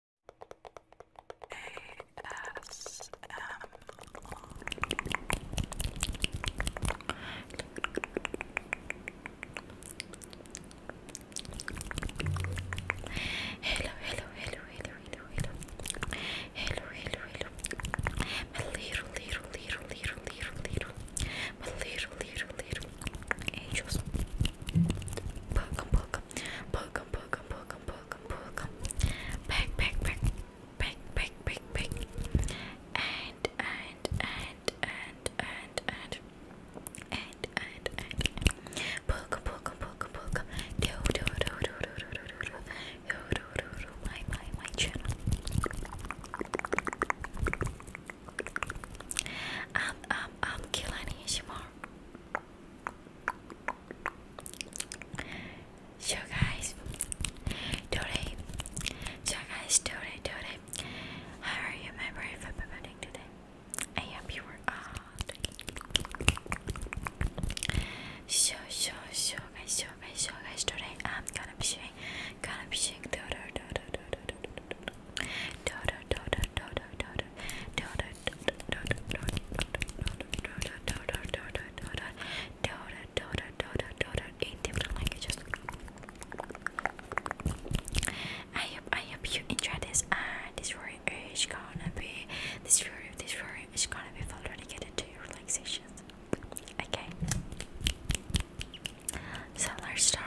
Hello, hello, hello, hello, hello, hello. Hello, hello, hello. My little, little, little, little, little, little. My little, little, little angels. Welcome, welcome poke em, poke em, poke em, poke em, poke em. Pick, pick, pick, pick, pick, pick, pick. And, and, and, and, and, and, and, and, and. Poke em, poke em, poke em, poke em. Do, do, do, do, do, do, do, do, do, do, do, do, my, my, my channel. I'm, I'm, I'm killing ASMR. So guys, today, so guys, today, today, how are you, my brave everybody today? I hope you were out. So, so, so guys, so guys, so guys, today I'm gonna be showing, gonna be showing, do do do do do do do do do do eight different languages. I hope I hope you enjoyed this and this story is gonna be this story is gonna be fun to get into your relaxation. Okay. So let's start.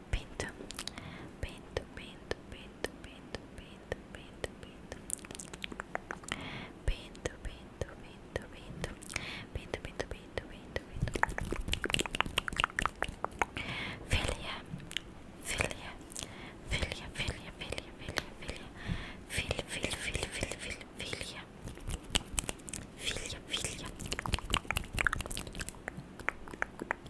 Pinto, pinto, pinto, pinto, pinto, pinto, pinto, pinto, pinto, pinto, pinto, pinto, pinto, pinto, pinto, pinto, pinto, filia, filia, filia, filia, filia, filia, filia, filia, filia, filia, filia, filia, filia, filia, filia, filia,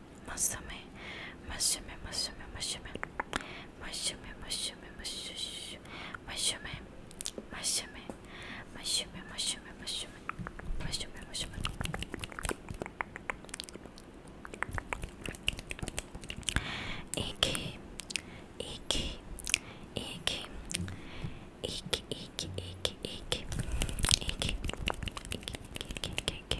Musume, musume, musume, musume, musume, musume, musume, musume, musume, musume, musume, musume, musume, musume. Iki, iki, iki, iki, iki, iki, iki, iki, iki, iki, iki, iki, iki,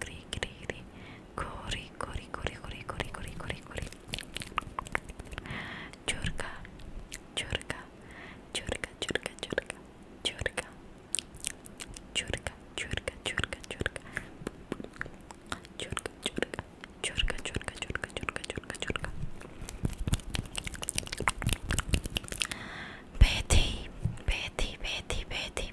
Gri gri gri. Gori gori gori gori gori gori gori gori. Churka, churka, churka, churka, churka, churka, churka, churka, churka, churka, churka, churka, churka, churka, churka, churka, churka, churka. Betty, Betty, Betty, Betty,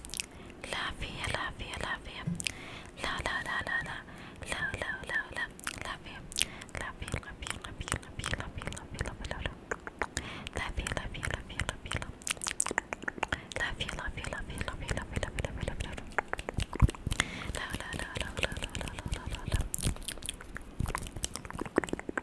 لافية لافية لافية لا لا لا لا لا لا لا لا لا لافية لافية لافية لافية لافية لافية لافية لافية لافية لافية لافية لافية لافية لافية لافية لافية لافية لافية لا لا لا لا لا لا لا لا لا لا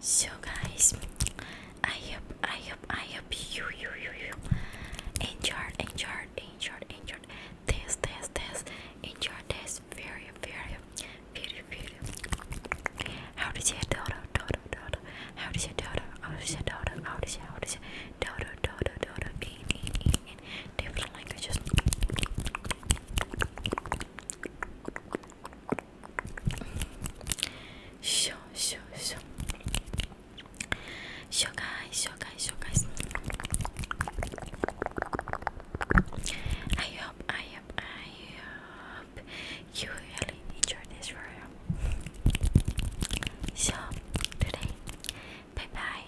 So guys, I hope I hope I hope you you you you enjoy enjoy enjoy enjoy this this this enjoy this very very very very how to say daughter daughter daughter how to say daughter how to say daughter how to say how to say daughter daughter daughter in in in in different languages Show, show, show. Show guys, show guys, show guys. I hope, I hope, I hope you really enjoyed this video. So today, bye bye.